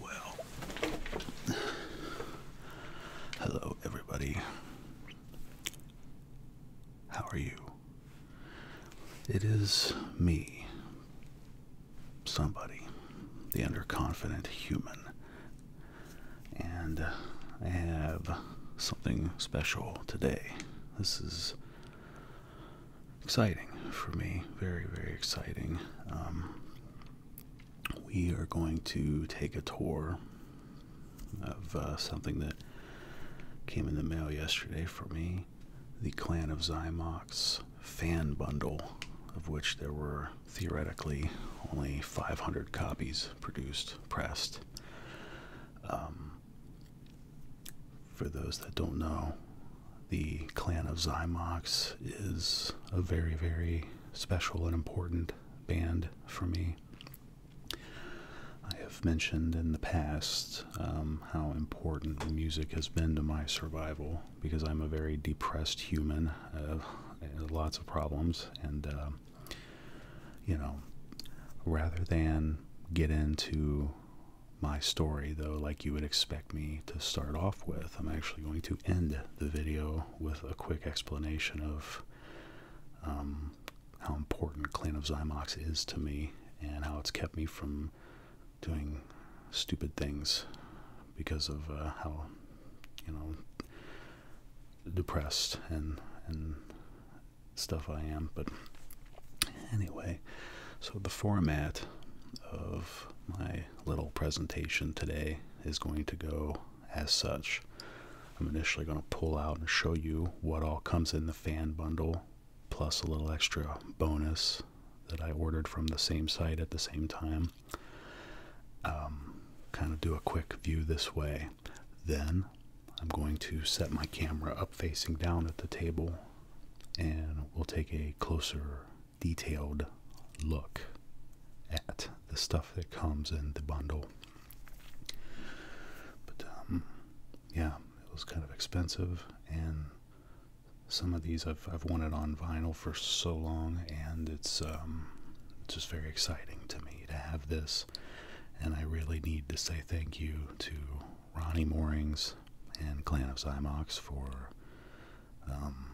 Well, hello everybody. How are you? It is me, somebody, the underconfident human, and uh, I have something special today. This is exciting for me, very, very exciting. Um, we are going to take a tour of uh, something that came in the mail yesterday for me the Clan of Zymox fan bundle, of which there were theoretically only 500 copies produced, pressed. Um, for those that don't know, the Clan of Zymox is a very, very special and important band for me. I have mentioned in the past um, how important music has been to my survival because I'm a very depressed human, uh, lots of problems, and uh, you know, rather than get into my story though like you would expect me to start off with i'm actually going to end the video with a quick explanation of um, how important Clan of Zymox is to me and how it's kept me from doing stupid things because of uh, how you know depressed and and stuff I am. But anyway, so the format of my little presentation today is going to go as such. I'm initially going to pull out and show you what all comes in the fan bundle, plus a little extra bonus that I ordered from the same site at the same time. Um, kind of do a quick view this way. Then I'm going to set my camera up facing down at the table and we'll take a closer detailed look at the stuff that comes in the bundle. But um, yeah, it was kind of expensive, and some of these I've, I've wanted on vinyl for so long, and it's um, just very exciting to me to have this. And I really need to say thank you to Ronnie Moorings and Clan of Symox for um,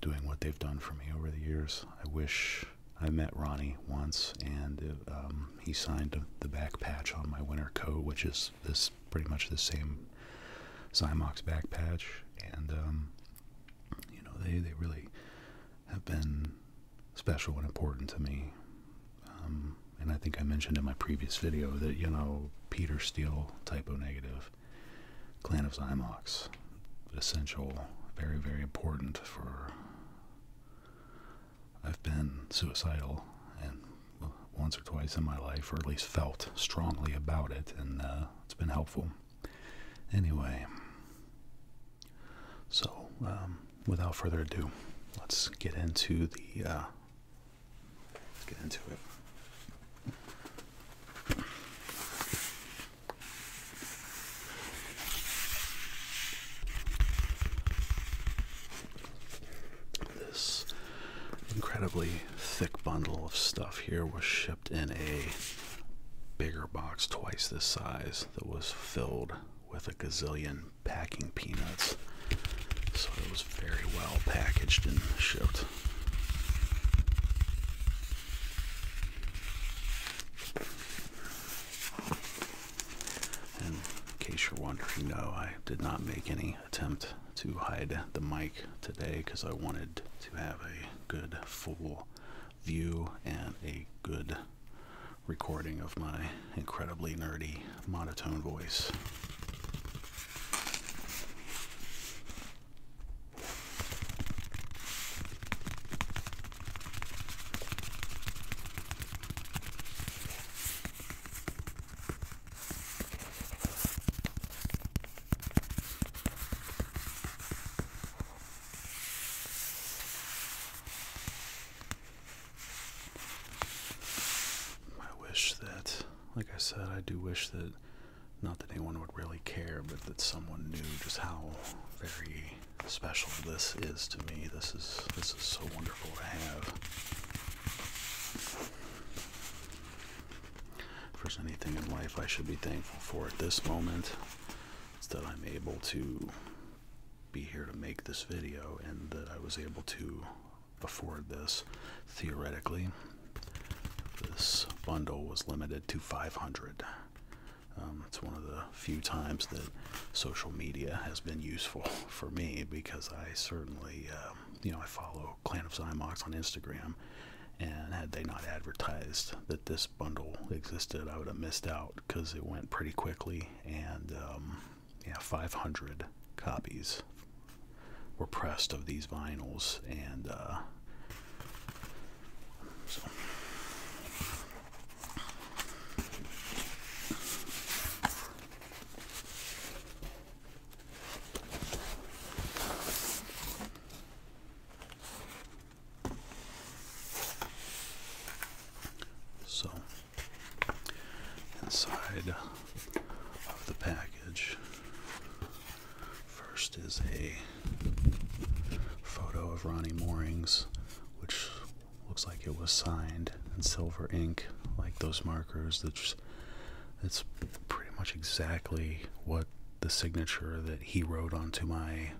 doing what they've done for me over the years. I wish I met Ronnie once, and um, he signed the back patch on my winter coat, which is this pretty much the same Zymox back patch. And um, you know, they they really have been special and important to me. and I think I mentioned in my previous video that you know Peter Steele typo negative Clan of Zymox. Essential, very, very important for. I've been suicidal and once or twice in my life, or at least felt strongly about it, and uh, it's been helpful. Anyway, so um, without further ado, let's get into the. Uh, let's get into it. This incredibly thick bundle of stuff here was shipped in a bigger box, twice this size, that was filled with a gazillion packing peanuts. So it was very well packaged and shipped in case you're wondering, no, I did not make any attempt to hide the mic today because I wanted to have a good full view and a good recording of my incredibly nerdy monotone voice. I wish that, like I said, I do wish that not that anyone would really care, but that someone knew just how very special this is to me. This is this is so wonderful to have. If there's anything in life I should be thankful for at this moment, it's that I'm able to be here to make this video and that I was able to afford this theoretically this bundle was limited to 500. Um, it's one of the few times that social media has been useful for me because I certainly, um, you know, I follow Clan of Zymox on Instagram, and had they not advertised that this bundle existed, I would have missed out because it went pretty quickly, and um, yeah, 500 copies were pressed of these vinyls, and uh, so. inside of the package, First is a photo of Ronnie Moorings, which looks like it was signed in silver ink, like those markers. That's it's pretty much exactly what the signature that he wrote onto my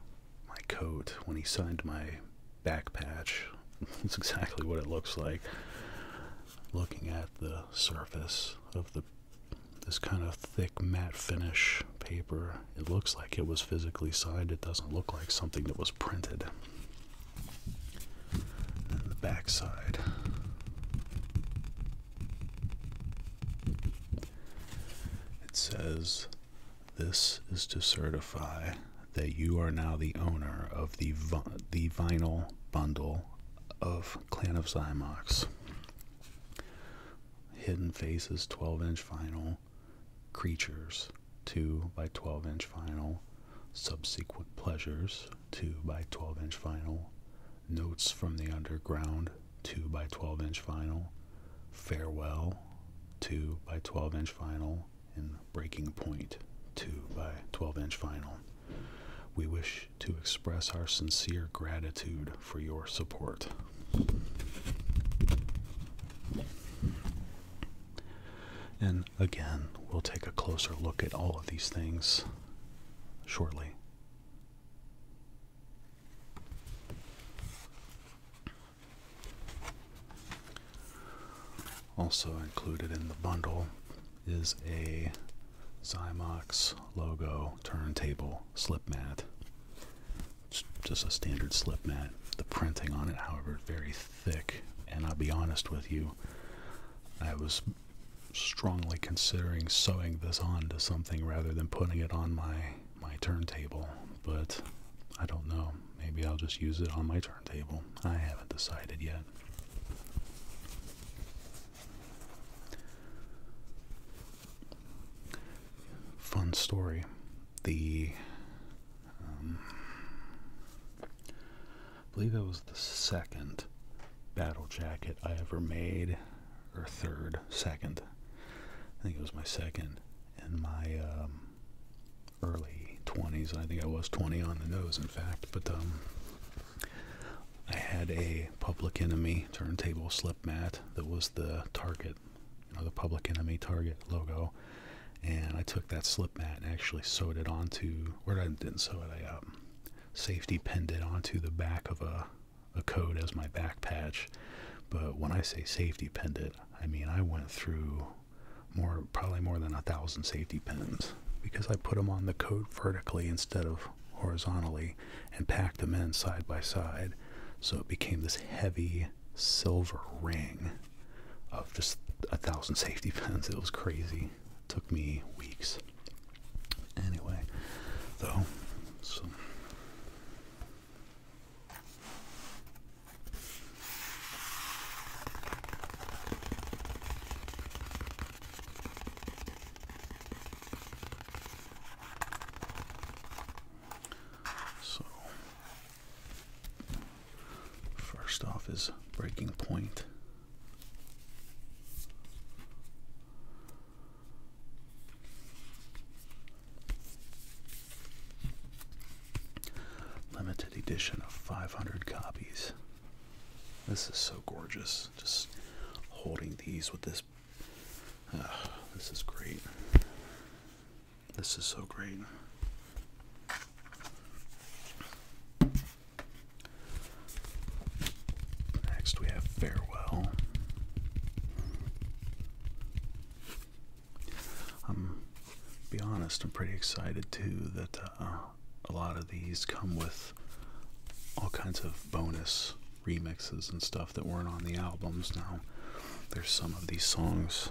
my coat when he signed my back patch. That's exactly what it looks like. Looking at the surface of the this kind of thick matte finish paper. It looks like it was physically signed. It doesn't look like something that was printed. And the back side. It says this is to certify that you are now the owner of the the vinyl bundle of Clan of Zymox. Hidden Faces 12 inch vinyl, Creatures 2 by 12 inch vinyl, Subsequent Pleasures 2 by 12 inch vinyl, Notes from the Underground 2 by 12 inch vinyl, Farewell 2 by 12 inch vinyl, and Breaking Point 2 by 12 inch vinyl. We wish to express our sincere gratitude for your support. And again, we'll take a closer look at all of these things shortly. Also included in the bundle is a Zymox logo turntable slip mat. just a standard slip mat. The printing on it, however, very thick. And I'll be honest with you, I was strongly considering sewing this on to something rather than putting it on my my turntable. But I don't know. Maybe I'll just use it on my turntable. I haven't decided yet. Fun story. The, um, I believe that was the second battle jacket I ever made, or third, second. I think it was my second. In my um, early 20s, I think I was 20 on the nose, in fact, but um, I had a Public Enemy turntable slip mat that was the target, you know, the Public Enemy target logo, and I took that slip mat and actually sewed it onto, or I didn't sew it, I um, safety pinned it onto the back of a, a code as my back patch. But when I say safety pinned it, I mean I went through more, probably more than a thousand safety pins because I put them on the coat vertically instead of horizontally and packed them in side by side. So it became this heavy silver ring of just a thousand safety pins. It was crazy. took me weeks. Anyway, though, so, first off is breaking point. Limited edition of 500 copies. This is so gorgeous. Just holding these with this this. is great. This is so great. Next, we have Farewell. I'm, um, be honest, I'm pretty excited too that uh, a lot of these come with all kinds of bonus remixes and stuff that weren't on the albums. Now, there's some of these songs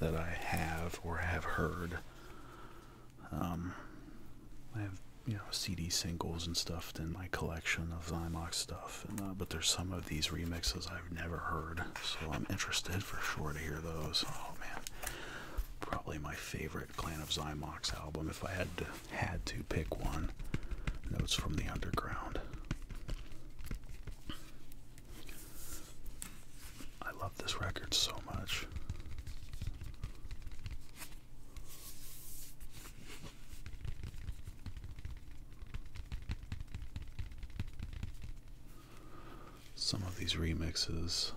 that I have or have heard. Um, I have you know CD singles and stuff in my collection of Zymox stuff, uh, but there's some of these remixes I've never heard, so I'm interested for sure to hear those. Oh man, probably my favorite Clan of Zymox album if I had to had to pick one, Notes from the Underground. I love this record so much. Some of these remixes,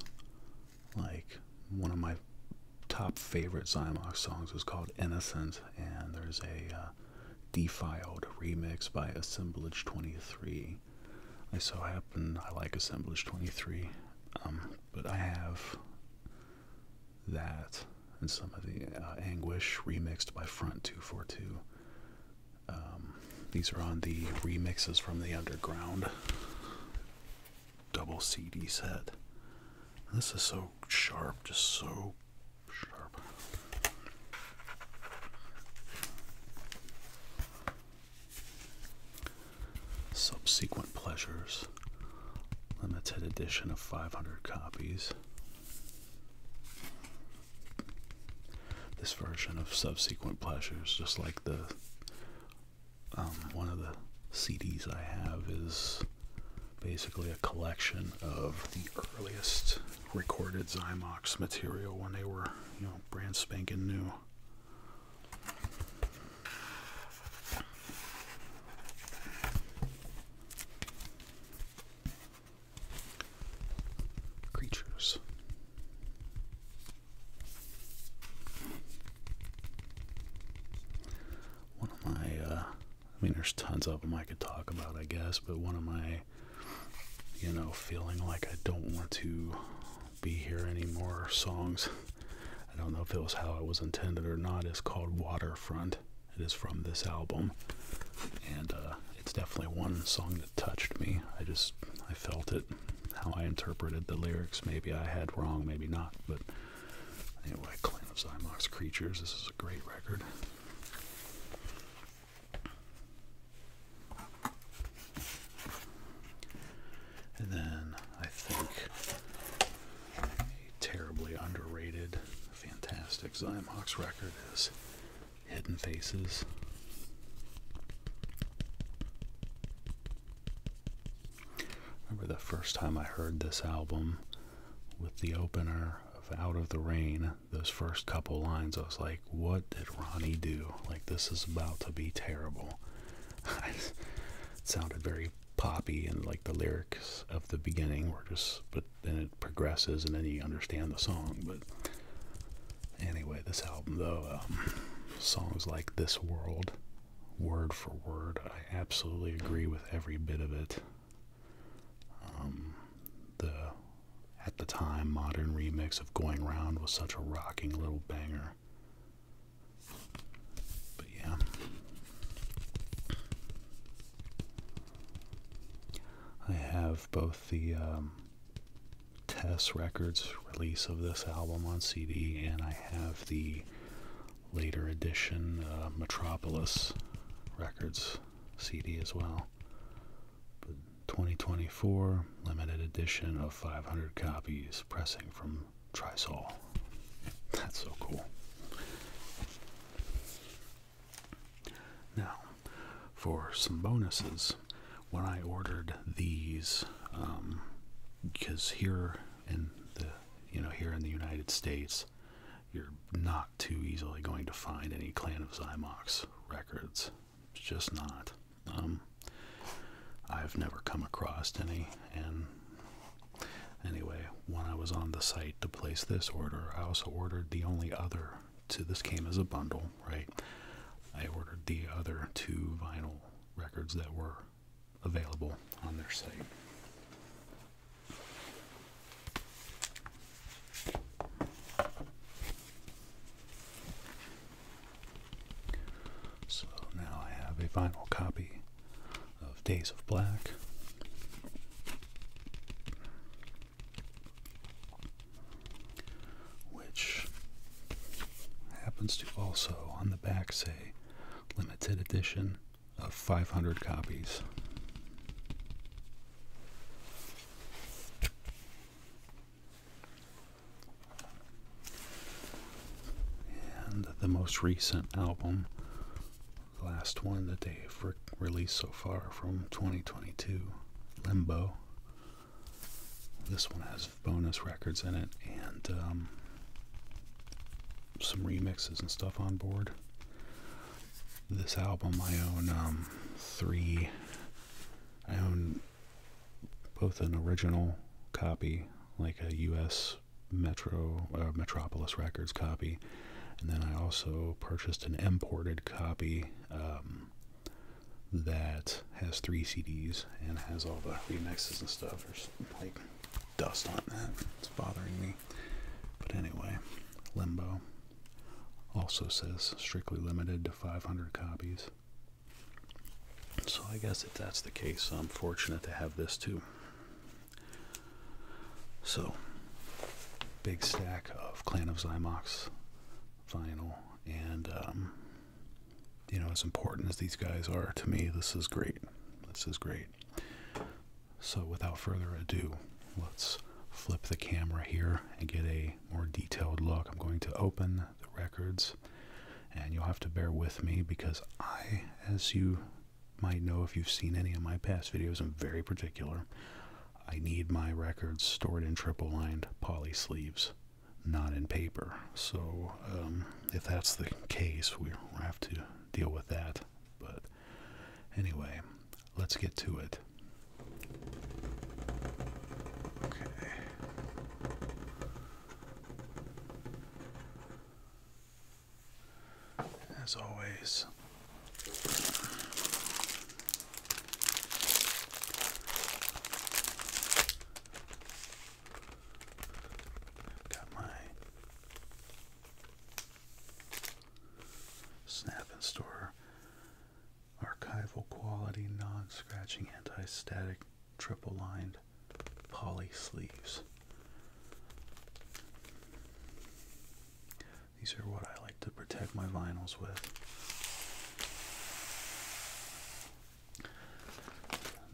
like one of my top favorite Zymox songs, is called Innocent and there's a uh, defiled remix by Assemblage 23. I so happen I like Assemblage 23, um, but I have that and some of the uh, Anguish remixed by Front 242. Um, these are on the remixes from the Underground double CD set. this is so sharp, just so Subsequent Pleasures, limited edition of 500 copies. This version of Subsequent Pleasures, just like the um, one of the CDs I have, is basically a collection of the earliest recorded Zymox material when they were, you know, brand spanking new. Creatures. One of my uh, I mean, there's tons of them I could talk about, I guess, but one of my, you know, feeling like I don't want to be here anymore songs, I don't know if it was how it was intended or not, is called Waterfront. It is from this album, and uh, it's definitely one song that touched me. I just, I felt it, how I interpreted the lyrics. Maybe I had wrong, maybe not, but Anyway, Clan of Zymox Creatures. This is a great record. And then I think a terribly underrated, fantastic Xymox record is Hidden Faces. Remember the first time I heard this album with the opener of Out of the Rain, those first couple lines, I was like, what did Ronnie do? Like, this is about to be terrible. it sounded very poppy, and like the lyrics of the beginning were just, but then it progresses, and then you understand the song. But anyway, this album, though, um, songs like This World, word for word, I absolutely agree with every bit of it. Um, the at the time modern remix of Going Round was such a rocking little banger. But yeah. I have both the um, Tess Records release of this album on CD, and I have the later edition uh, Metropolis Records CD as well. 2024 limited edition of 500 copies, pressing from Trisol. That's so cool. Now, for some bonuses, when I ordered these, because um, here in the you know here in the United States, you're not too easily going to find any Clan of Zymox records. It's just not. Um, I've never come across any, and anyway, when I was on the site to place this order, I also ordered the only other. So this came as a bundle, right? I ordered the other two vinyl records that were available on their site. So now I have a vinyl copy of Days of Black. Which happens to also on the back say limited edition of 500 copies. And the most recent album, the last one that they've released so far from 2022, Limbo. This one has bonus records in it and um, some remixes and stuff on board this album. I own um, three. I own both an original copy, like a U.S. Metro uh, Metropolis Records copy, and then I also purchased an imported copy um, that has three CDs and has all the remixes and stuff. There's like dust on that. It's bothering me. But anyway, Limbo also says strictly limited to 500 copies. So I guess if that's the case, I'm fortunate to have this too. So, big stack of Clan of Zymox vinyl, and um, you know, as important as these guys are to me, this is great. This is great. So without further ado, let's flip the camera here and get a more detailed look. I'm going to open the records and you'll have to bear with me because I, as you might know if you've seen any of my past videos, am very particular. I need my records stored in triple lined poly sleeves, not in paper. So um, if that's the case, we have to deal with that. But anyway, let's get to it. Okay. As always, got my Snap and store archival quality non-scratching anti-static triple lined poly sleeves. These are what I like to protect my vinyls with.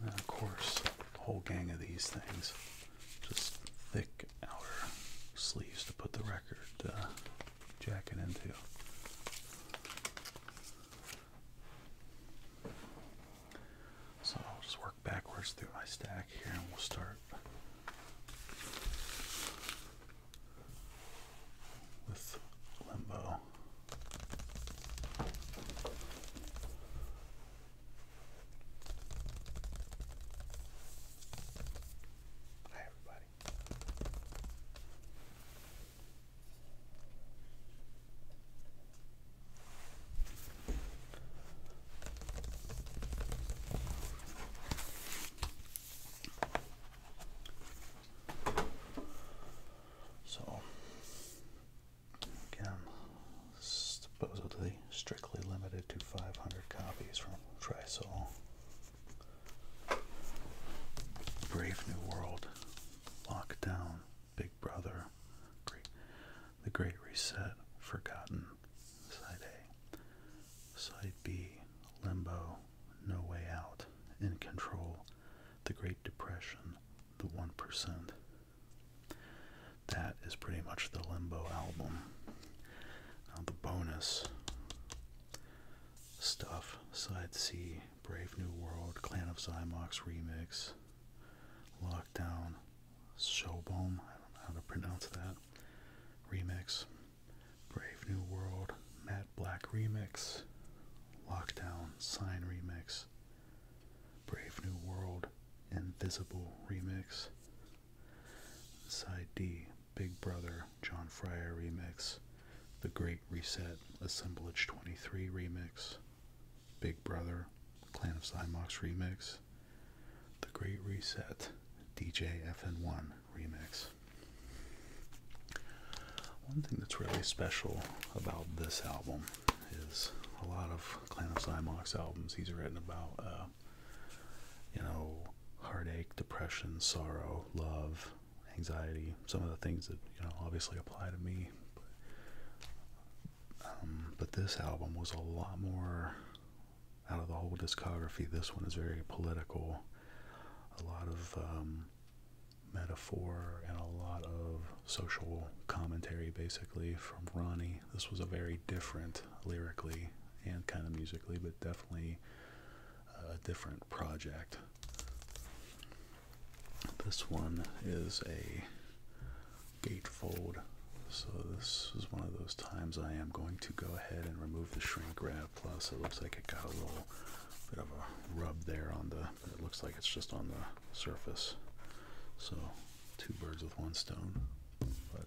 And then of course, a whole gang of these things. Just thick our sleeves to put the record uh, jacket into. So I'll just work backwards through my stack here and we'll start with limbo. Hi, everybody. So, again, supposedly strictly, limited to 500 copies from Trisol. Brave New World, Lockdown, Big Brother, The Great Reset, Forgotten, Side A, Side B, Limbo, No Way Out, In Control, The Great Depression, The 1% that is pretty much the Limbo album. Now, uh, the bonus stuff Side C, Brave New World, Clan of Zymox Remix, Lockdown, Showbomb, I don't know how to pronounce that, Remix, Brave New World, Matt Black Remix, Lockdown, Sign Remix, Brave New World, Invisible Remix, Side D, Big Brother, John Fryer remix, The Great Reset, Assemblage 23 remix, Big Brother, Clan of Zymox remix, The Great Reset, DJ FN1 remix. One thing that's really special about this album is a lot of Clan of Zymox albums. He's written about uh, you know, heartache, depression, sorrow, love, anxiety, some of the things that, you know, obviously apply to me. Um, but, this album was a lot more, out of the whole discography, this one is very political. A lot of um, metaphor and a lot of social commentary, basically, from Ronnie. This was a very different, lyrically, and kind of musically, but definitely a different project. This one is a gatefold, so this is one of those times I am going to go ahead and remove the shrink wrap. Plus, it looks like it got a little bit of a rub there on the, it looks like it's just on the surface. So, two birds with one stone. But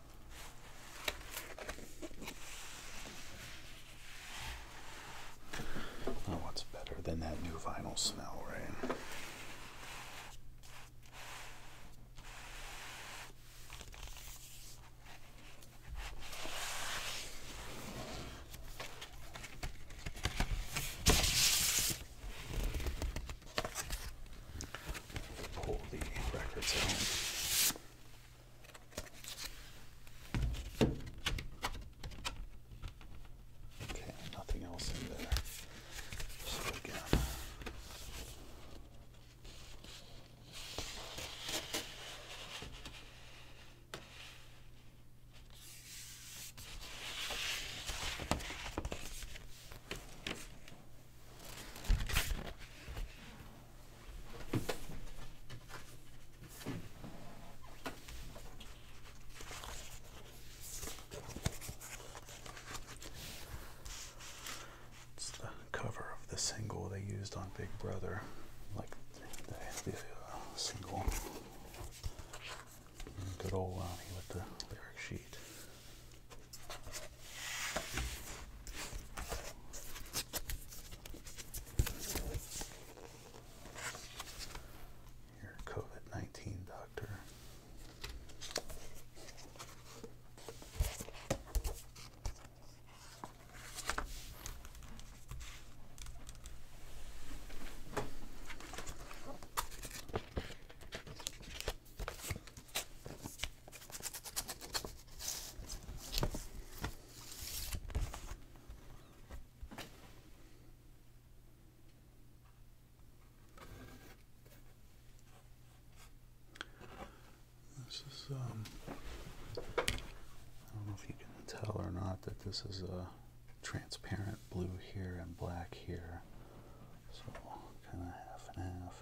what's better than that new vinyl smell, right? pull the records out. Okay, nothing else in there. So again, it's the cover of the single they used on Big Brother, like the, uh, single. Good old one with the lyric sheet. Your COVID 19 doctor. This is, um, I don't know if you can tell or not that this is a transparent blue here and black here. So kind of half and half.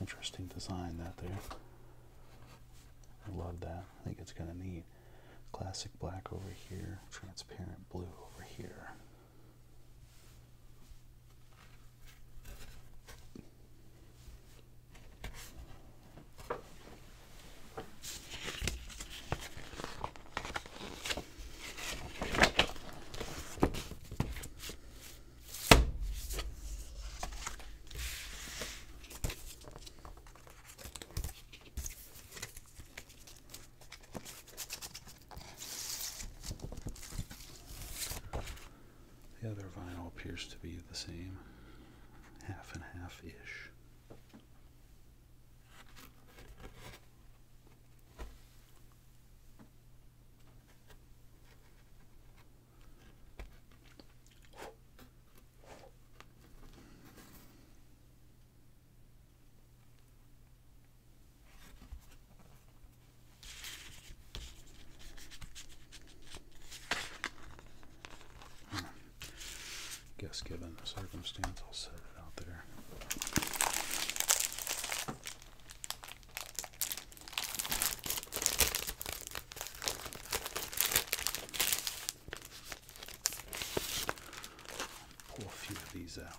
Interesting design that there. I love that. I think it's kind of neat. Classic black over here, transparent blue over here. The other vinyl appears to be the same, half and half-ish. Hmm. Guess given the circumstance, I'll set it out there. Pour a few of these out.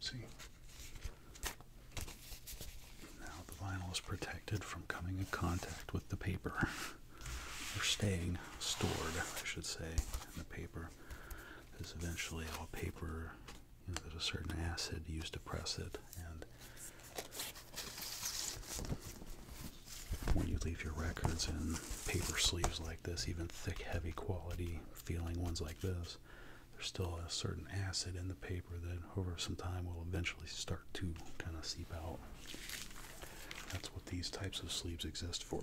See? Now the vinyl is protected from coming in contact with the paper, We're staying stored, I should say, in the paper. Because eventually all paper there's a certain acid used to press it, and when you leave your records in paper sleeves like this, even thick, heavy quality feeling ones like this, there's still a certain acid in the paper that over some time will eventually start to kind of seep out. That's what these types of sleeves exist for.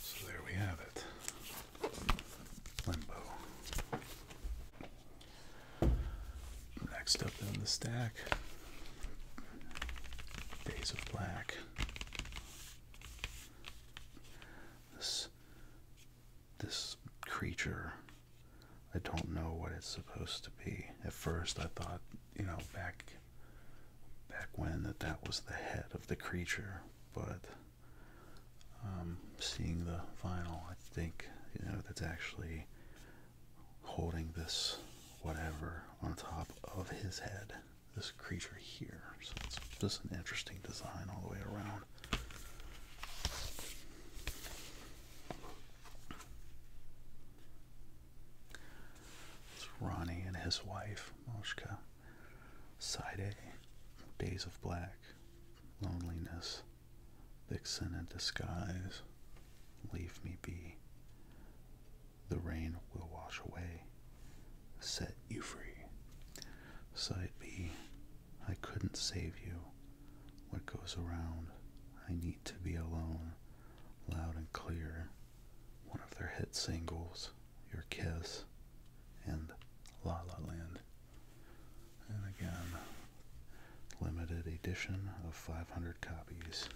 So there we have it. Limbo. Next up in the stack, Days of Black. This this creature I don't know what it's supposed to be. At first I thought, you know, back back when that that was the head of the creature, but um, seeing the vinyl, I think you know that's actually holding this whatever on top of his head this creature here. So it's just an interesting design all the way around. It's Ronnie and his wife, Moshka. Side A, Days of Black, Loneliness, Vixen in Disguise, Leave Me Be, the rain will wash away, set you free. Side B, I couldn't save you. What goes around, I need to be alone. Loud and clear, one of their hit singles, Your Kiss, and La La Land. And again, limited edition of 500 copies.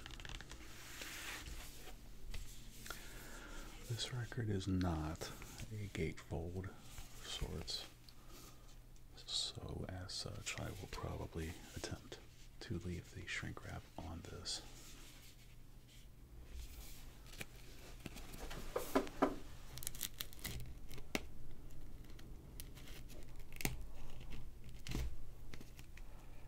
This record is not a gatefold of sorts, so as such, I will probably attempt to leave the shrink wrap on this.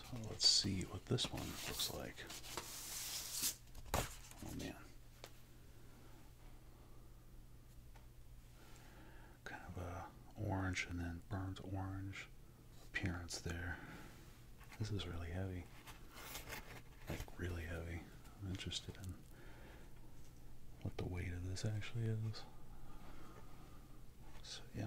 So let's see what this one looks like. Oh man kind of a orange and then burnt orange appearance there. This is really heavy. Like really heavy. I'm interested in what the weight of this actually is. So yeah.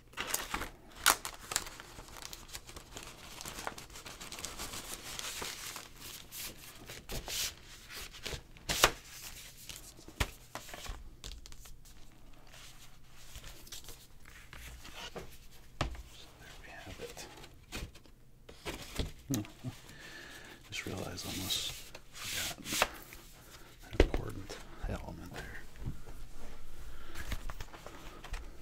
So there we have it. just realized I almost forgot an important element there.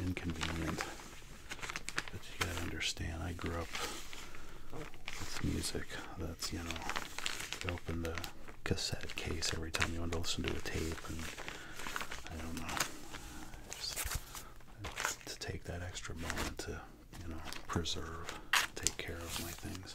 inconvenient. But you gotta understand, I grew up with music that's, you know, you open the cassette case every time you want to listen to a tape, and I don't know. Just, to take that extra moment to, you know, preserve, take care of my things.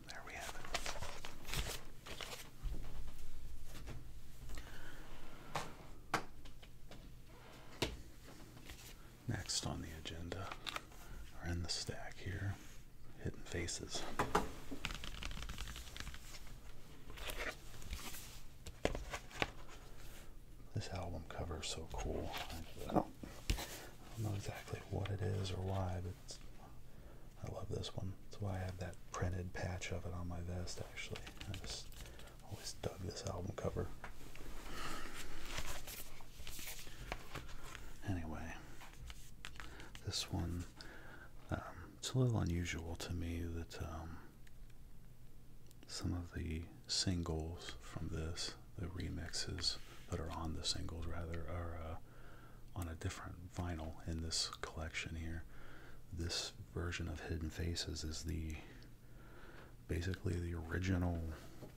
there we have it. Next on the agenda, or in the stack here, Hidden Faces. This album cover is so cool. I don't, oh. I don't know exactly what it is or why, but I love this one. That's why I have that printed patch of it on my vest, actually. I just always dug this album cover. Anyway, this one, um, it's a little unusual to me that um, some of the singles from this, the remixes that are on the singles rather, are uh, on a different vinyl in this collection here. This version of Hidden Faces is the basically the original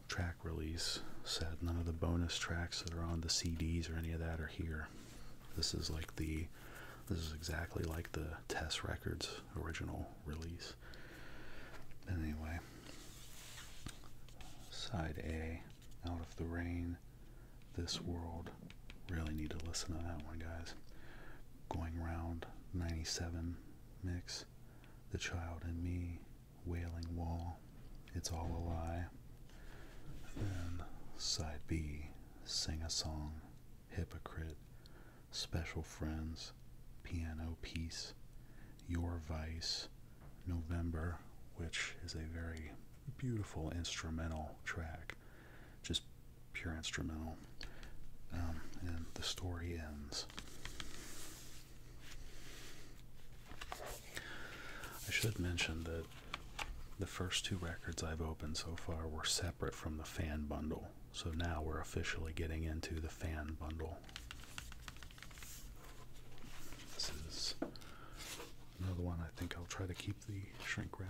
track release set. None of the bonus tracks that are on the CDs or any of that are here. This is like the this is exactly like the Test Records original release. anyway, side A, Out of the Rain. This world. Really need to listen to that one, guys. Going round 97 mix. The Child and Me. Wailing Wall. It's All a Lie. And then side B. Sing a Song. Hypocrite. Special Friends. Piano Piece. Your Vice. November, which is a very beautiful instrumental track, just pure instrumental. Um, and the story ends. I should mention that the first two records I've opened so far were separate from the fan bundle, so now we're officially getting into the fan bundle. This is another one I think I'll try to keep the shrink wrap.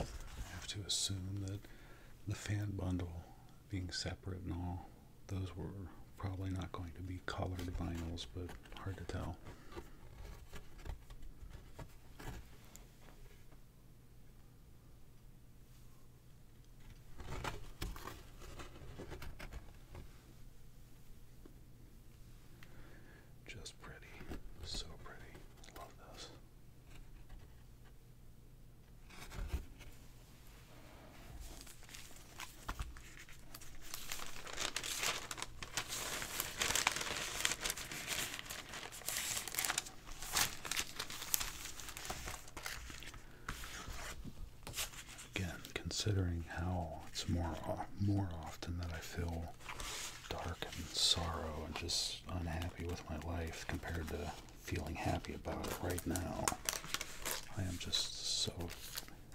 I have to assume that the fan bundle being separate and all, those were probably not going to be colored vinyls, but hard to tell. Just pretty, so pretty. Love this. Again, considering how it's more more often that I feel dark and sorrow and just unhappy with my life compared to feeling happy about it right now. I am just so,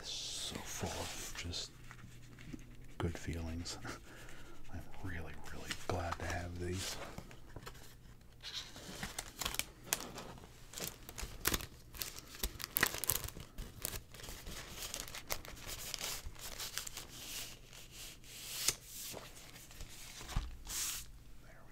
so full of just good feelings. I'm really, really glad to have these. There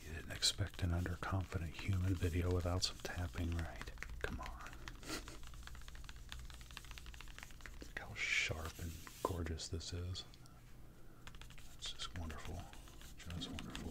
You didn't expect an underconfident human video without some tapping, right? Come on. Look how sharp and gorgeous this is. It's just wonderful. Just wonderful.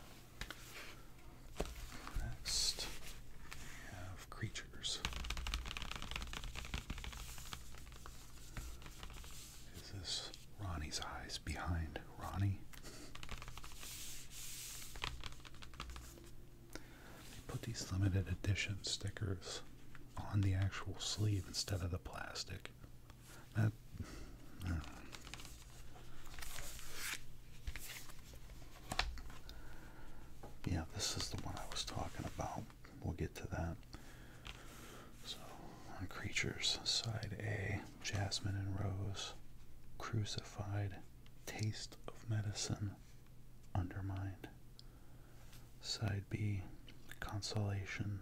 Next, we have creatures. Is this Ronnie's eyes behind Ronnie? They put these limited edition stickers on the actual sleeve instead of the plastic yeah, this is the one I was talking about. We'll get to that. So, creatures, side A, Jasmine and Rose, crucified, taste of medicine, undermined. Side B, consolation,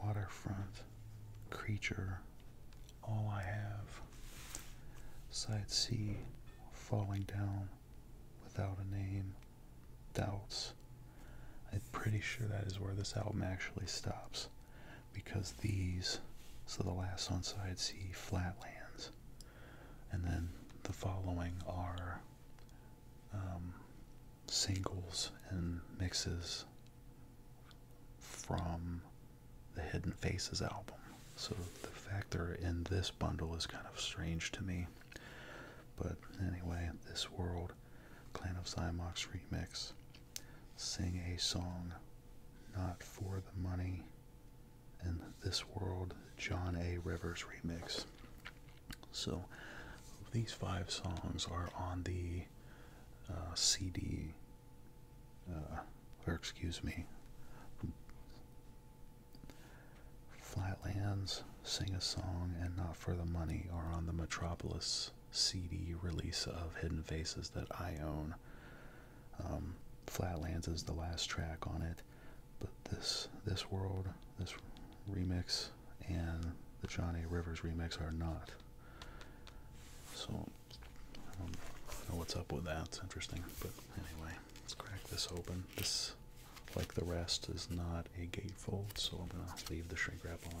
waterfront, creature, all I have. Side C, falling down without a name, doubts. I'm pretty sure that is where this album actually stops because these, so the last on side C, flatlands, and then the following are um, singles and mixes from the Hidden Faces album. So the fact they in this bundle is kind of strange to me. But anyway, This World, Clan of Zymox remix, Sing a Song, Not for the Money, and This World, John A. Rivers remix. So these five songs are on the uh, CD, uh, or excuse me, Flatlands Sing a Song and Not for the Money are on the Metropolis CD release of Hidden Faces that I own. Um, Flatlands is the last track on it, but this this world, this remix, and the Johnny Rivers remix are not. So, I don't know what's up with that. interesting. But anyway, let's crack this open. This, like the rest, is not a gatefold, so I'm going to leave the shrink wrap on.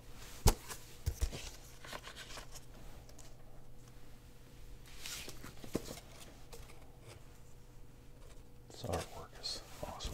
This artwork is awesome.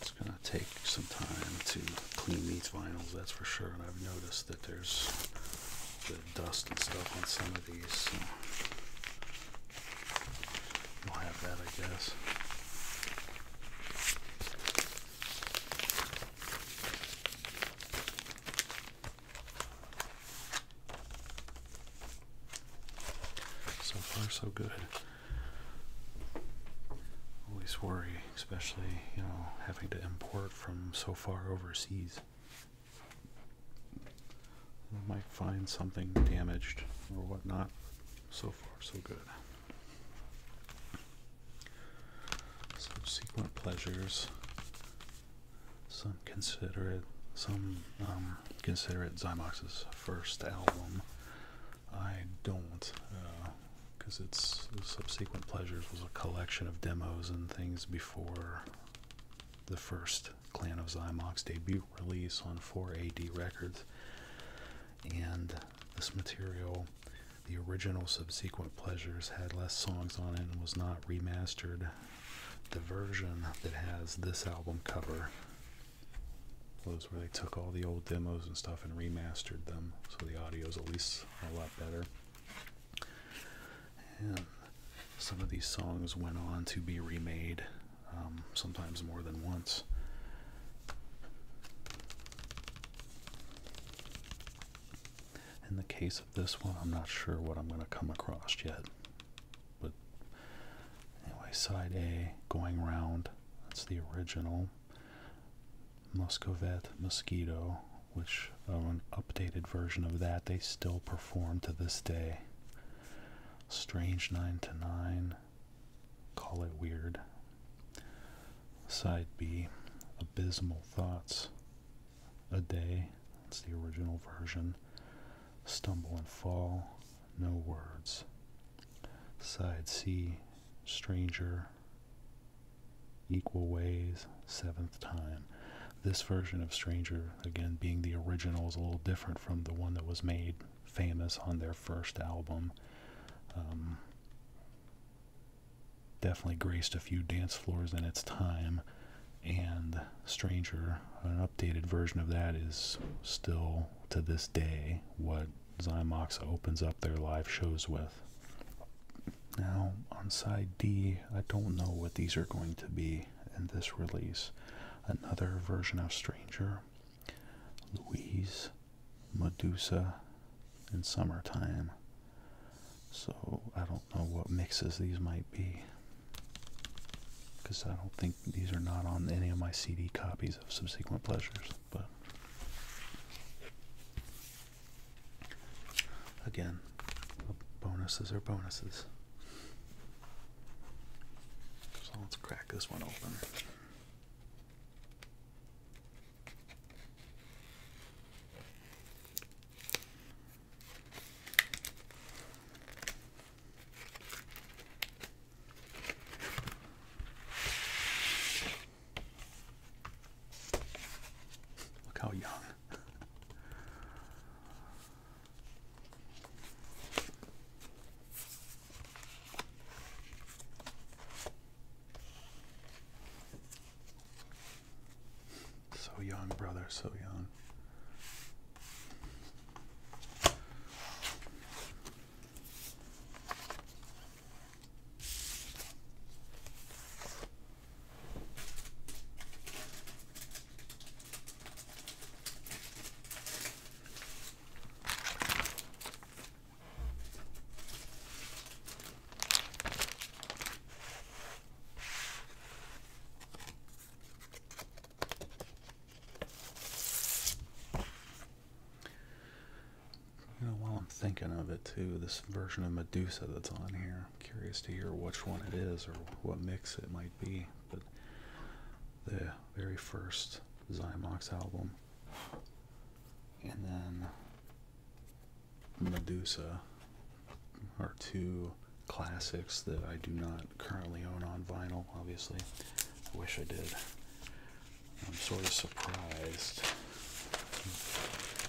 It's going to take some time to clean these vinyls, that's for sure. And I've noticed that there's dust and stuff on some of these. So we'll have that, I guess. So far, so good. Always worry, especially, you know, having to import from so far overseas. I might find something damaged or whatnot. So far, so good. Subsequent pleasures. Some consider it. Some um, consider it Zymox's first album. I don't, because uh, it's Subsequent Pleasures was a collection of demos and things before the first Clan of Xymox debut release on 4AD Records. And this material, the original Subsequent Pleasures, had less songs on it and was not remastered. The version that has this album cover was where they took all the old demos and stuff and remastered them, so the audio is at least a lot better some of these songs went on to be remade, um, sometimes more than once. In the case of this one, I'm not sure what I'm going to come across yet. But anyway, side A, going round, that's the original. Muscovette, mosquito, which uh, an updated version of that they still perform to this day. Strange 9 to 9. Call it weird. Side B, Abysmal Thoughts. A Day, that's the original version. Stumble and Fall, No Words. Side C, Stranger, equal ways, seventh time. This version of Stranger, again being the original, is a little different from the one that was made famous on their first album. Um, definitely graced a few dance floors in its time, and Stranger, an updated version of that, is still to this day what Zymox opens up their live shows with. Now, on side D, I don't know what these are going to be in this release. Another version of Stranger, Louise, Medusa, and Summertime. So, I don't know what mixes these might be. Because I don't think these are not on any of my CD copies of Subsequent Pleasures, but Again, bonuses are bonuses. So let's crack this one open. Look how young so young, brother, so young. You know, while I'm thinking of it too, this version of Medusa that's on here curious to hear which one it is or what mix it might be. But the very first Zymox album, and then Medusa, are two classics that I do not currently own on vinyl. Obviously, I wish I did. I'm sort of surprised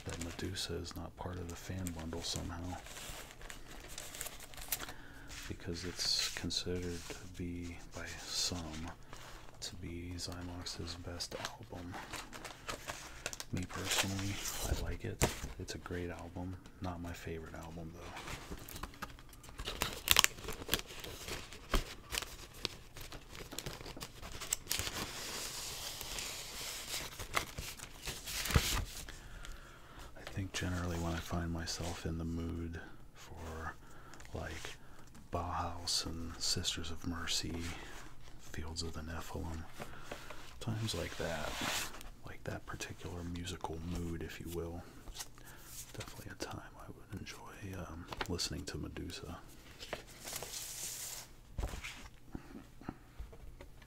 that Medusa is not part of the fan bundle somehow because it's considered to be by some to be Zymox's best album. Me personally, I like it. It's a great album. Not my favorite album though. I think generally when I find myself in the mood for like Bauhaus and Sisters of Mercy, Fields of the Nephilim, times like that, like that particular musical mood, if you will, definitely a time I would enjoy um, listening to Medusa.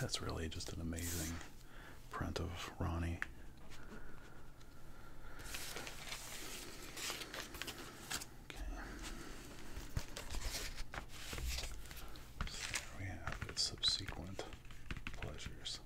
That's really just an amazing print of Ronnie. Okay we have its subsequent pleasures.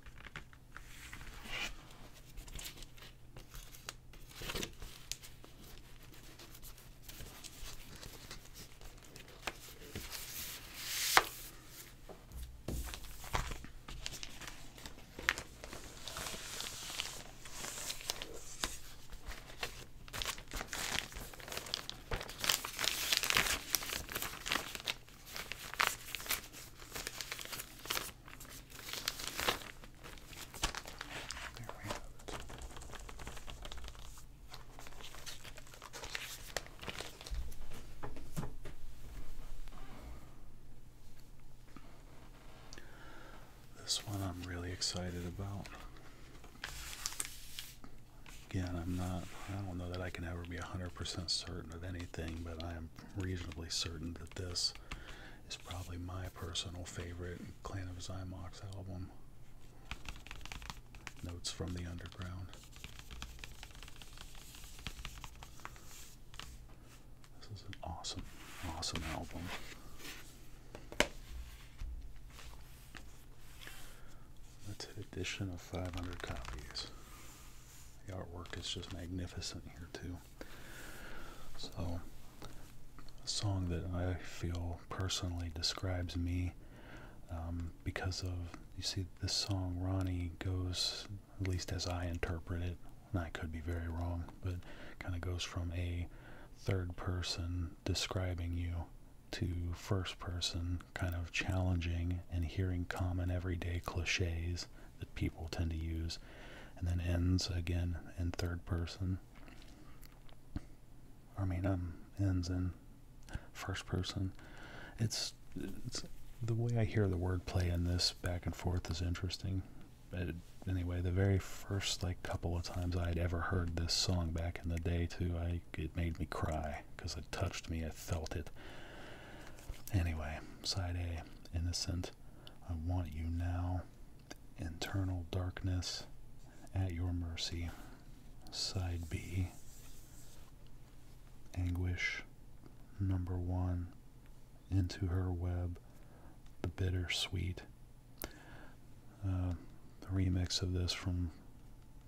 This one I'm really excited about. Again, I'm not, I don't know that I can ever be 100% certain of anything, but I am reasonably certain that this is probably my personal favorite Clan of Xymox album. Notes from the Underground. This is an awesome, awesome album. That's an edition of 500 copies. The artwork is just magnificent here, too. So, a song that I feel personally describes me um, because of, you see, this song, Ronnie, goes, at least as I interpret it, and I could be very wrong, but kind of goes from a third person describing you to first person, kind of challenging and hearing common everyday cliches that people tend to use, and then ends again in third person. I mean, um, ends in first person. It's, it's the way I hear the wordplay in this back and forth is interesting. It, anyway, the very first like couple of times I would ever heard this song back in the day, too, I it made me cry because it touched me felt it. Anyway, side A, innocent. I want you now. Internal darkness at your mercy. Side B, anguish. Number one, into her web. The bittersweet. Uh, the remix of this from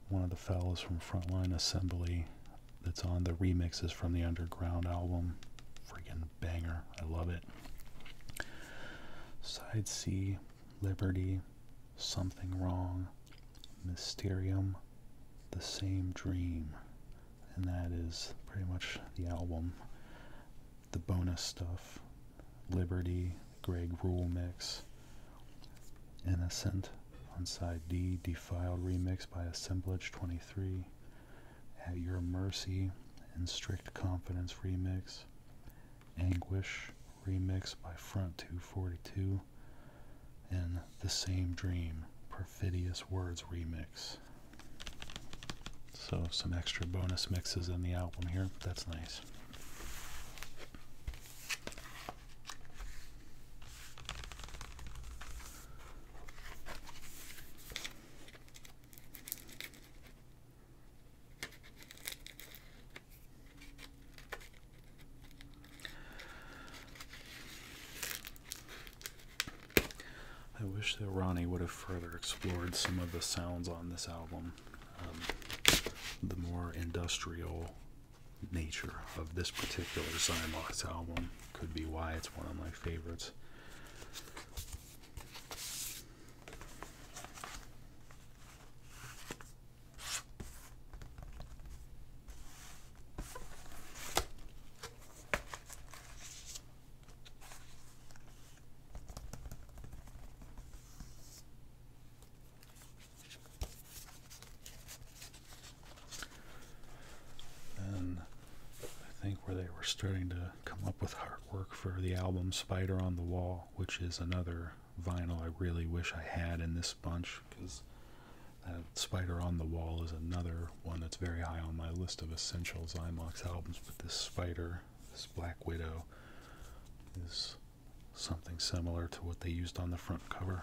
one of the fellows from Frontline Assembly that's on the remixes from the Underground album. Freaking banger. I love it. Side C, Liberty, Something Wrong, Mysterium, The Same Dream. And that is pretty much the album. The bonus stuff, Liberty, Greg Rule mix, Innocent on side D, Defiled remix by Assemblage 23, At Your Mercy and Strict Confidence remix, Anguish remix by Front 242, and The Same Dream Perfidious Words remix. So some extra bonus mixes in the album here. That's nice. I wish that Ronnie would have further explored some of the sounds on this album. Um, the more industrial nature of this particular Zymox album could be why it's one of my favorites. Then I think where they were starting to come up with artwork for the album Spider on the Wall, which is another vinyl I really wish I had in this bunch because that Spider on the Wall is another one that's very high on my list of essential Zymox albums, but this Spider, this Black Widow, is something similar to what they used on the front cover.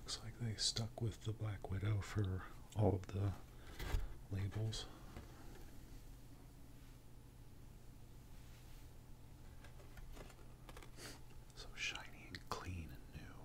Looks like they stuck with the Black Widow for all of the labels. So shiny and clean and new.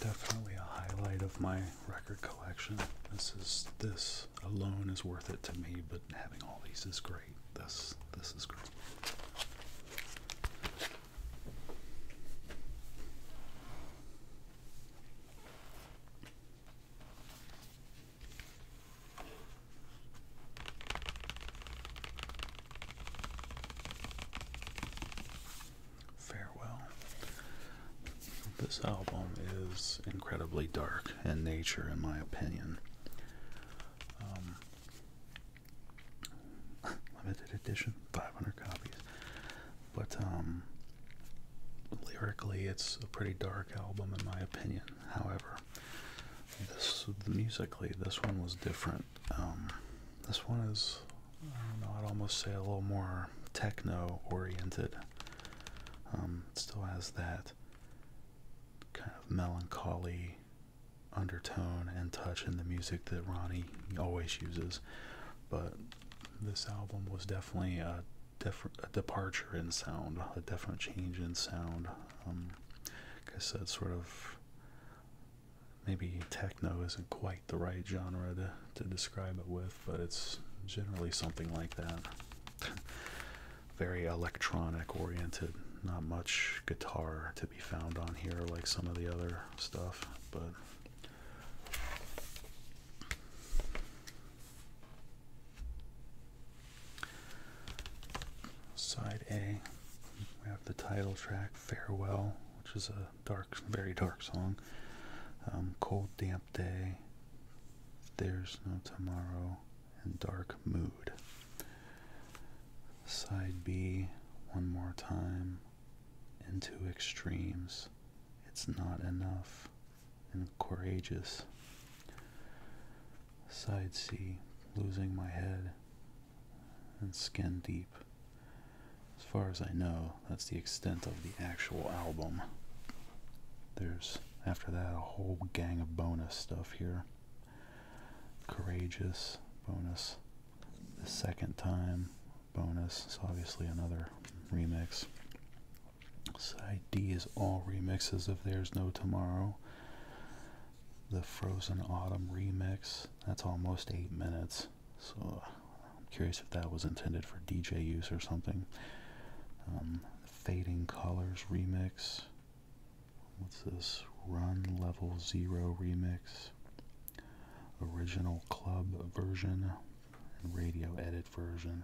Definitely a highlight of my record collection. This is this alone is worth it to me, but having all these is great. This this is great. Farewell. This album is incredibly dark in nature, in my opinion. Um, limited edition, 500 copies. But um, lyrically, it's a pretty dark album in my opinion. However, this musically, this one was different. Um, this one is, I don't know, I'd almost say a little more techno-oriented. Um, still has that kind of melancholy undertone and touch in the music that Ronnie always uses. But this album was definitely a, a departure in sound, a definite change in sound. Um, like I said, sort of maybe techno isn't quite the right genre to, to describe it with, but it's generally something like that. Very electronic oriented, not much guitar to be found on here like some of the other stuff, but side A, we have the title track Farewell, which is a dark, very dark song. Um, cold, damp day, there's no tomorrow, and dark mood. Side B one more time into extremes. It's not enough and courageous. Side C, losing my head and skin deep. As far as I know, that's the extent of the actual album. There's, after that, a whole gang of bonus stuff here. Courageous, bonus, the second time bonus is obviously another remix. Side D is all remixes of There's No Tomorrow. The Frozen Autumn remix. That's almost eight minutes. So I'm curious if that was intended for DJ use or something. Um, Fading Colors remix. What's this? Run Level Zero remix original club version and radio edit version.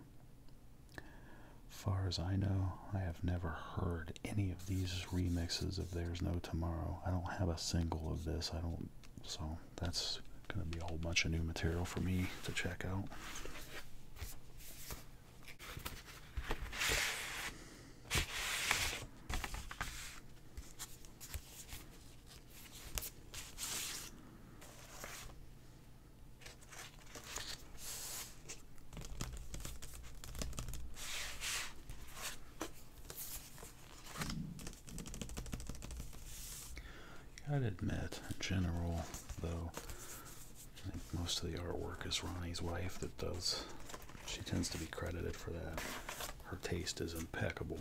Far as I know, I have never heard any of these remixes of There's No Tomorrow. I don't have a single of this. I don't so that's gonna be a whole bunch of new material for me to check out. I'd admit, general, though, I think most of the artwork is Ronnie's wife that does. She tends to be credited for that. Her taste is impeccable.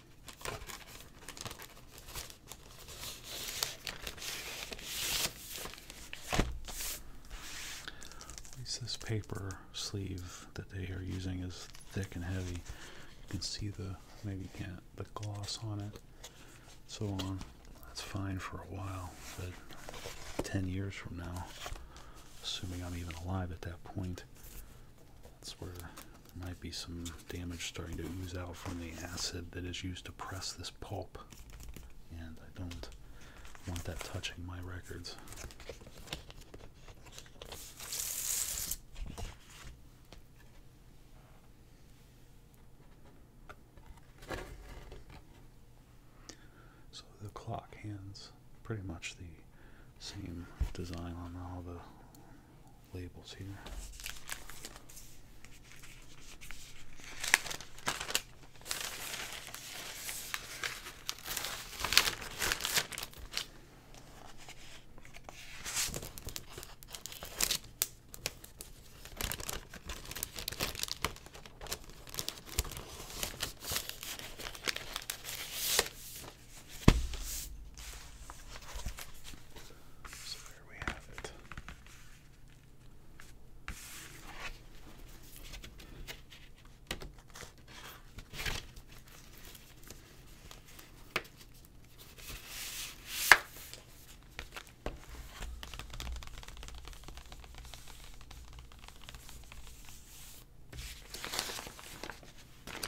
At least this paper sleeve that they are using is thick and heavy. You can see the maybe you can't the gloss on it, so on. That's fine for a while, but 10 years from now, assuming I'm even alive at that point, that's where there might be some damage starting to ooze out from the acid that is used to press this pulp, and I don't want that touching my records. So the clock hands pretty much the same design on all the labels here where we have it. There we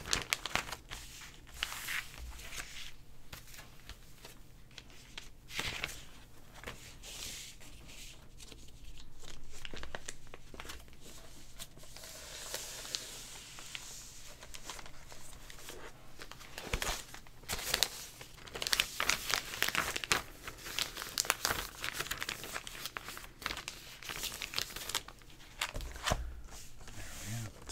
have it.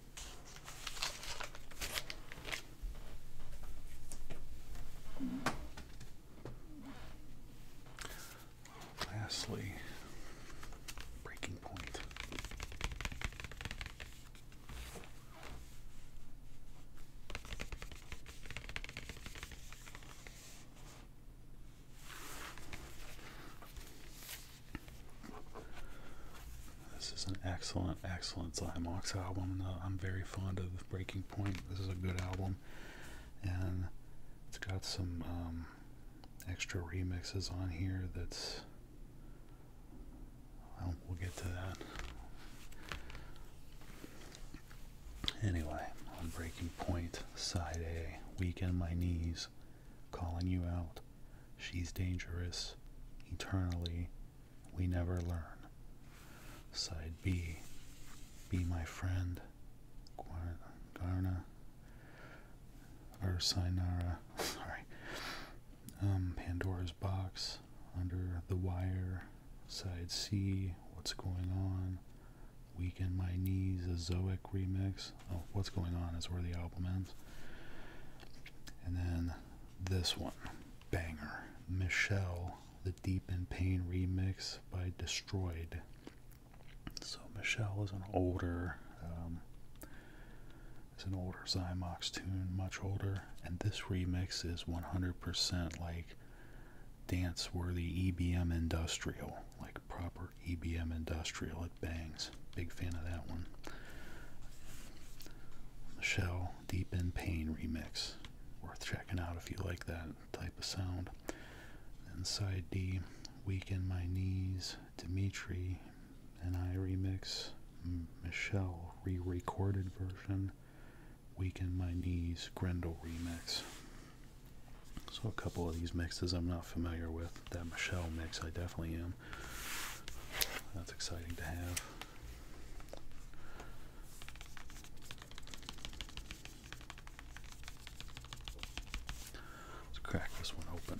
Lastly, breaking point. This is an excellent, excellent Zymox album. Uh, I'm very fond of Breaking Point. This is a good album, and it's got some um, extra remixes on here. That's we'll get to that. Anyway, on Breaking Point, Side A, Weak in My Knees, calling you out. She's dangerous. Eternally, we never learn. Side B. Be my friend. Garna. Versainara. Sorry. Um, Pandora's Box. Under the Wire. Side C. What's going on? Weaken My Knees, a Zoic remix. Oh, what's going on is where the album ends. And then this one, banger, Michelle, the Deep in Pain remix by Destroyed. So Michelle is an older, um, it's an older Zymox tune, much older, and this remix is 100% like dance-worthy EBM industrial, like proper EBM Industrial it bangs big fan of that one Michelle Deep in Pain remix worth checking out if you like that type of sound And side D Weaken My Knees Dimitri and I remix Michelle re-recorded version Weaken My Knees Grendel remix so a couple of these mixes I'm not familiar with. That Michelle mix I definitely am. That's exciting to have. Let's crack this one open.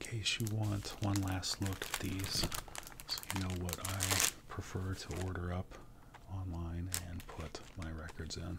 In case you want one last look at these, so you know what I prefer to order up online and put my records in.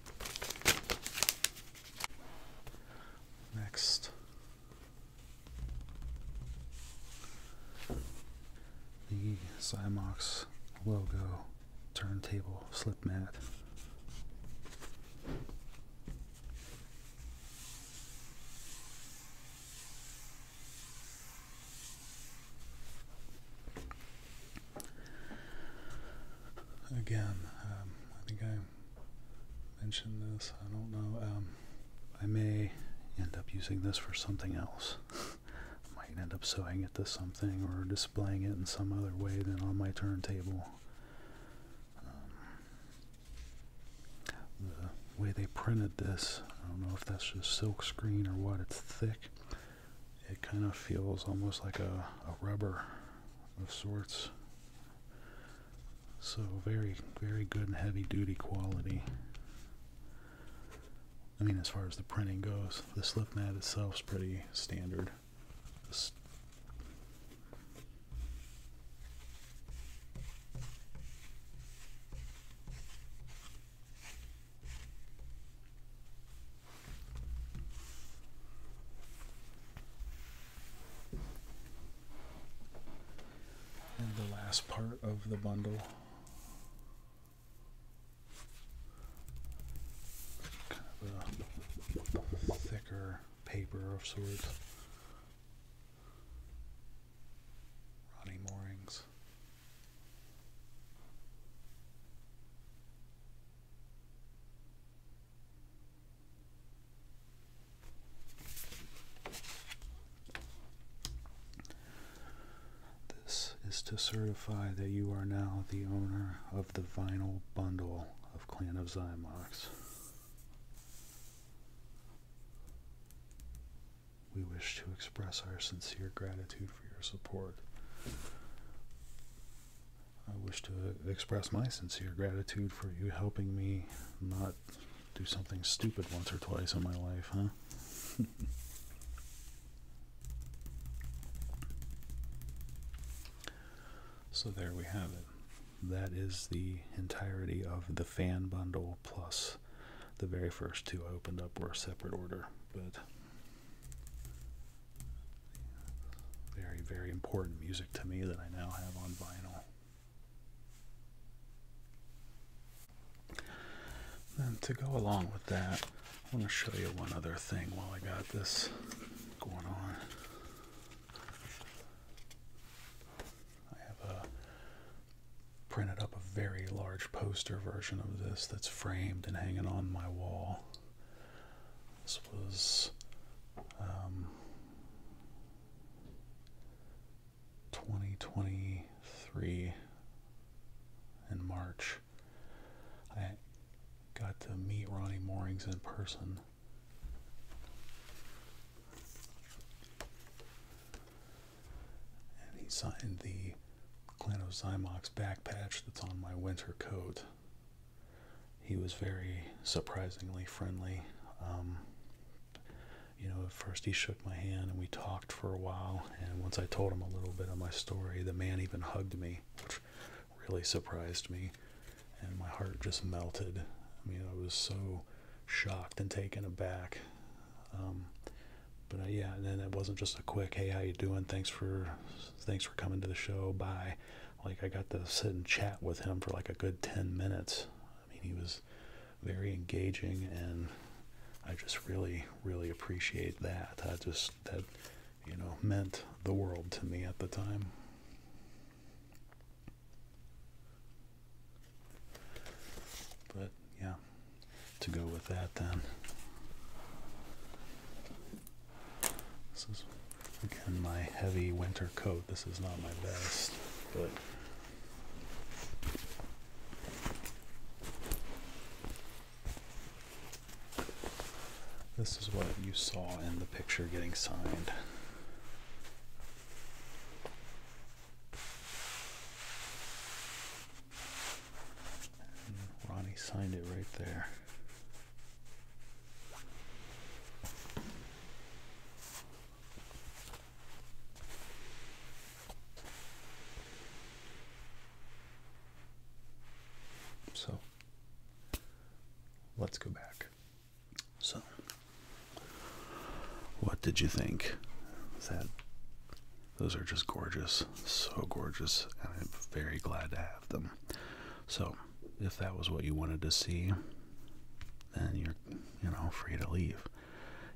Next. The Zymox logo turntable slip mat. Again, um, I think I mentioned this. I don't know. Um, I may end up using this for something else. might end up sewing it to something or displaying it in some other way than on my turntable. Um, the way they printed this, I don't know if that's just silkscreen or what. It's thick it kind of feels almost like a, rubber of sorts. So very, very good and heavy duty quality. I mean, as far as the printing goes, the slip mat itself is pretty standard. And the last part of the bundle. Kind of a thicker paper of sorts. Ronnie Moorings. This is to certify that you are now the owner of the vinyl bundle of Clan of Xymox. We wish to express our sincere gratitude for your support. I wish to express my sincere gratitude for you helping me not do something stupid once or twice in my life, huh? so there we have it. That is the entirety of the fan bundle plus the very first two I opened up were a separate order, but very, very important music to me that I now have on vinyl. And to go along with that, I want to show you one other thing while I got this going on. I have a, printed up a very large poster version of this that's framed and hanging on my wall. This was um, 2023 in March. I got to meet Ronnie Moorings in person. And he signed the Clanozymox back patch that's on my winter coat. He was very surprisingly friendly. Um, you know, at first he shook my hand and we talked for a while. And once I told him a little bit of my story, the man even hugged me, which really surprised me. And my heart just melted. I mean, I was so shocked and taken aback. Um, but uh, yeah, and then it wasn't just a quick, hey, how you doing? Thanks for thanks for coming to the show. Bye. Like I got to sit and chat with him for like a good 10 minutes. I mean, he was very engaging and I just really, really appreciate that. I just, that, you know, meant the world to me at the time. But yeah, to go with that then. This is again my heavy winter coat. This is not my best, but this is what you saw in the picture getting signed. Mm, Ronnie signed it right there. So let's go back. So, what did you think? That those are just gorgeous so gorgeous, and I'm very glad to have them. So, if that was what you wanted to see, then you're, you know, free to leave.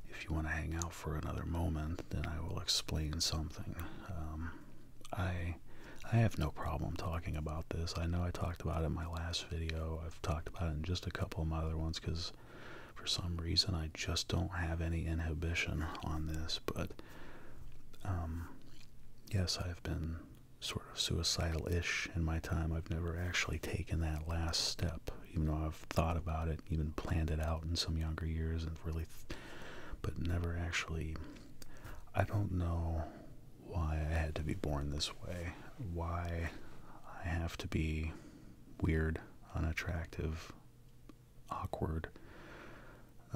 If you want to hang out for another moment, then I will explain something. Um, I, I have no problem talking about this. I know I talked about it in my last video. I've talked about it in just a couple of my other ones because for some reason I just don't have any inhibition on this. But um, yes, I've been sort of suicidal ish in my time. I've never actually taken that last step, even though I've thought about it, even planned it out in some younger years, and really, but never actually. I don't know why I had to be born this way, why I have to be weird, unattractive, awkward,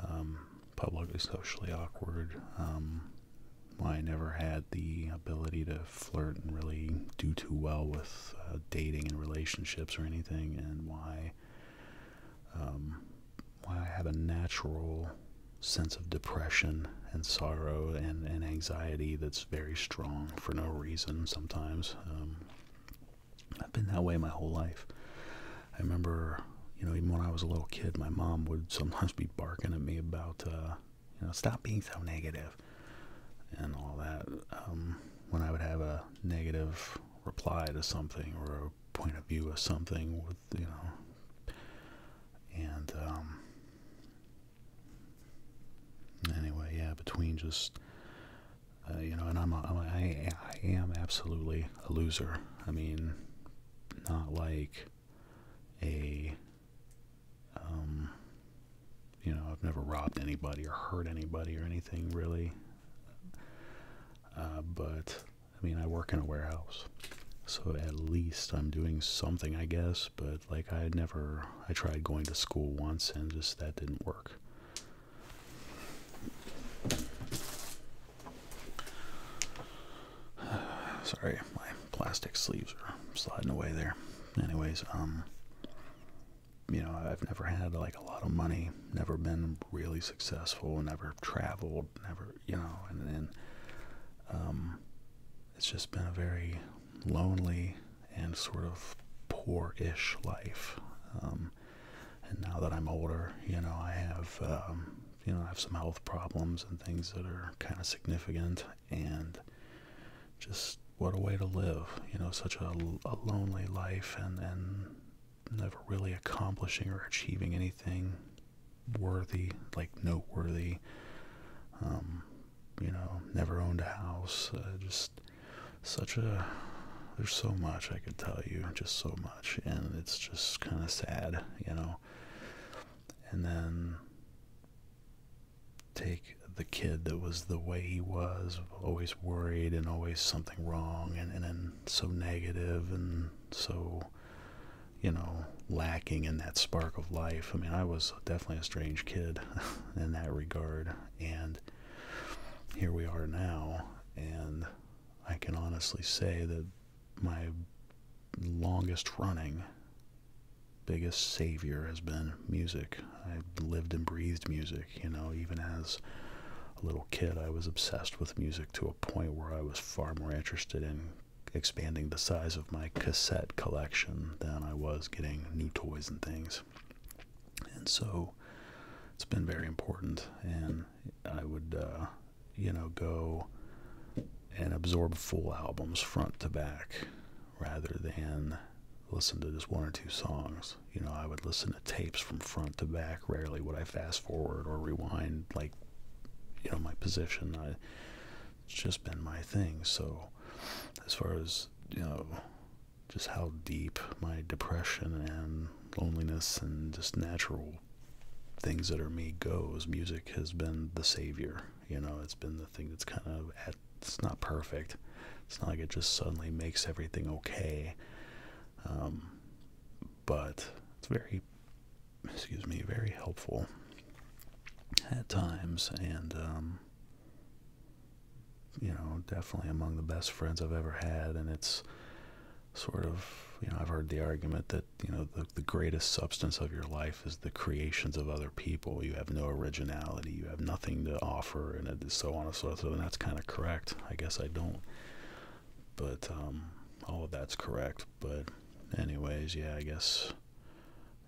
um, publicly socially awkward. Um, I never had the ability to flirt and really do too well with uh, dating and relationships or anything, and why um, why I have a natural sense of depression and sorrow and, and anxiety that's very strong for no reason sometimes. Um, I've been that way my whole life. I remember, you know, even when I was a little kid, my mom would sometimes be barking at me about, uh, you know, stop being so negative and all that. Um, when I would have a negative reply to something or a point of view of something with, you know, and, um, anyway, yeah, between just, uh, you know, and I'm, I, I am absolutely a loser. I mean, not like a, um, you know, I've never robbed anybody or hurt anybody or anything really. Uh, but, I mean, I work in a warehouse. So at least I'm doing something, I guess. But, like, I never, I tried going to school once and just that didn't work. Sorry, my plastic sleeves are sliding away there. Anyways, um, you know, I've never had like a lot of money, never been really successful, never traveled, never, you know, and then, um, it's just been a very lonely and sort of poor ish life. Um, and now that I'm older, you know, I have, um, you know, I have some health problems and things that are kind of significant. And just what a way to live, you know, such a, lonely life and, and never really accomplishing or achieving anything worthy, like noteworthy. Um, you know, never owned a house. Uh, just such a, there's so much I could tell you, just so much and it's just kind of sad, you know. And then take the kid that was the way he was, always worried and always something wrong, and, and then so negative and so, you know, lacking in that spark of life. I mean, I was definitely a strange kid in that regard, and here we are now, and I can honestly say that my longest running biggest savior has been music. I lived and breathed music, you know, even as a little kid, I was obsessed with music to a point where I was far more interested in expanding the size of my cassette collection than I was getting new toys and things. And so it's been very important, and I would uh, you know, go and absorb full albums front to back rather than listen to just one or two songs. You know, I would listen to tapes from front to back. Rarely would I fast forward or rewind, like, you know, my position. it's just been my thing. So, as far as, you know, just how deep my depression and loneliness and just natural things that are me goes, music has been the savior. You know, it's been the thing that's kind of it's not perfect. It's not like it just suddenly makes everything okay. Um, but it's very, excuse me, very helpful at times, and um, you know, definitely among the best friends I've ever had. And it's sort of, you know, I've heard the argument that, you know, the, the greatest substance of your life is the creations of other people. You have no originality, you have nothing to offer, and it is so on and so forth. And that's kind of correct. I guess I don't. But um, all of that's correct. But, anyways, yeah, I guess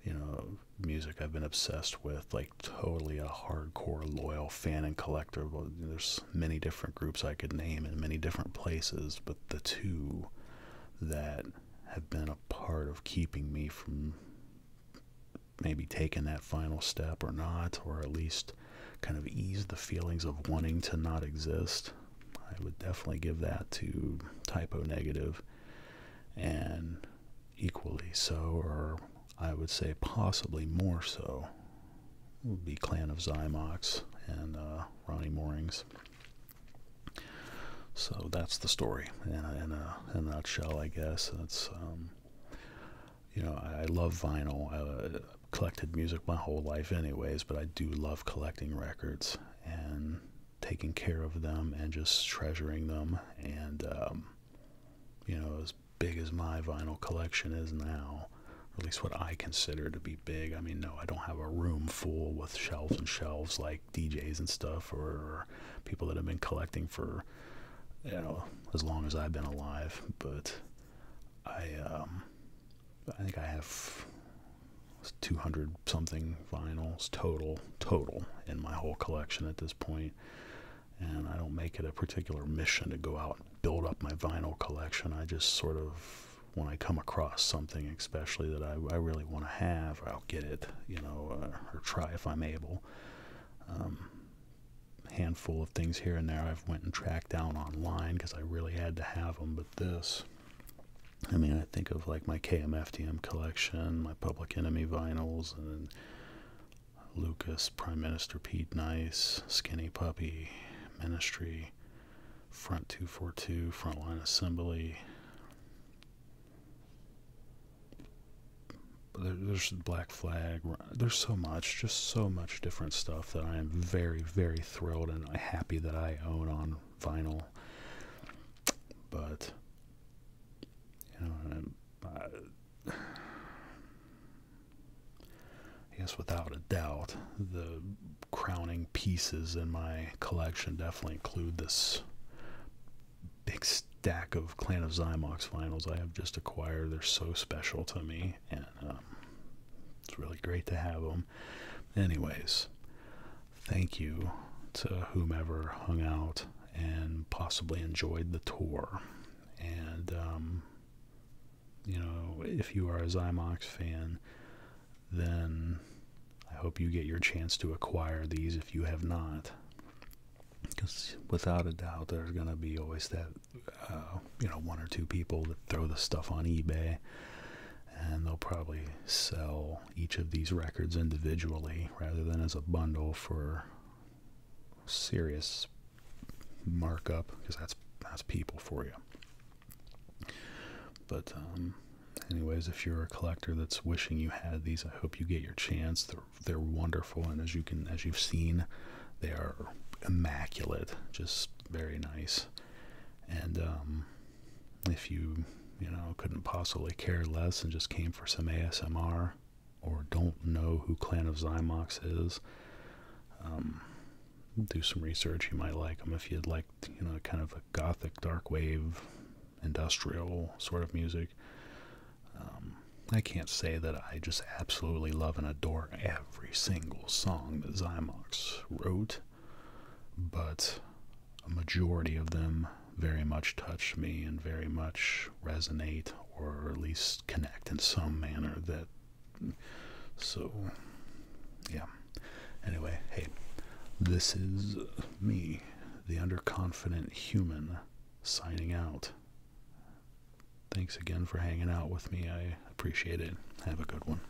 you know, music I've been obsessed with, like totally a hardcore loyal fan and collector. There's many different groups I could name in many different places, but the two that have been a part of keeping me from maybe taking that final step or not, or at least kind of ease the feelings of wanting to not exist. I would definitely give that to typo negative and equally so, or I would say possibly more so, would be Clan of Xymox and uh, Ronnie Moorings. So that's the story and a, in a, nutshell, I guess. that's um, you know, I, love vinyl. I, I uh, collected music my whole life, anyways, but I do love collecting records and taking care of them and just treasuring them. And, um, you know, as big as my vinyl collection is now, at least what I consider to be big. I mean, no, I don't have a room full with shelves and shelves like DJs and stuff, or, people that have been collecting for you know as long as I've been alive. But I, um, I think I have 200 something vinyls total, total in my whole collection at this point. And I don't make it a particular mission to go out and build up my vinyl collection. I just sort of when I come across something, especially that I, really want to have, I'll get it, you know, uh, or try if I'm able. Um, handful of things here and there I've went and tracked down online because I really had to have them, but this. I mean, I think of like my KMFDM collection, my Public Enemy vinyls, and Lucas, Prime Minister Pete Nice, Skinny Puppy, Ministry, front 242, front line assembly. There's Black Flag. There's so much, just so much different stuff that I am very, very thrilled and happy that I own on vinyl. But, you know, I, I guess without a doubt, the crowning pieces in my collection definitely include this big stack of Clan of Zymox finals I have just acquired. They're so special to me, and um, it's really great to have them. Anyways, thank you to whomever hung out and possibly enjoyed the tour. And um, you know, if you are a Zymox fan, then I hope you get your chance to acquire these if you have not. Because without a doubt, there's going to be always that, uh, you know, one or two people that throw the stuff on eBay. And they'll probably sell each of these records individually rather than as a bundle for serious markup because that's that's people for you. But, um, anyways, if you're a collector that's wishing you had these, I hope you get your chance. They're wonderful, and as you can as you've seen, they are immaculate, just very nice. And um, if you you know couldn't possibly care less and just came for some ASMR, or don't know who Clan of Zymox is. Um, do some research. You might like them if you like, you know, kind of a gothic, dark wave, industrial sort of music. Um, I can't say that I just absolutely love and adore every single song that Zymox wrote, but a majority of them very much touch me and very much resonate or at least connect in some manner that so, yeah. Anyway, hey, this is me, the underconfident human, signing out. Thanks again for hanging out with me. I appreciate it. Have a good one.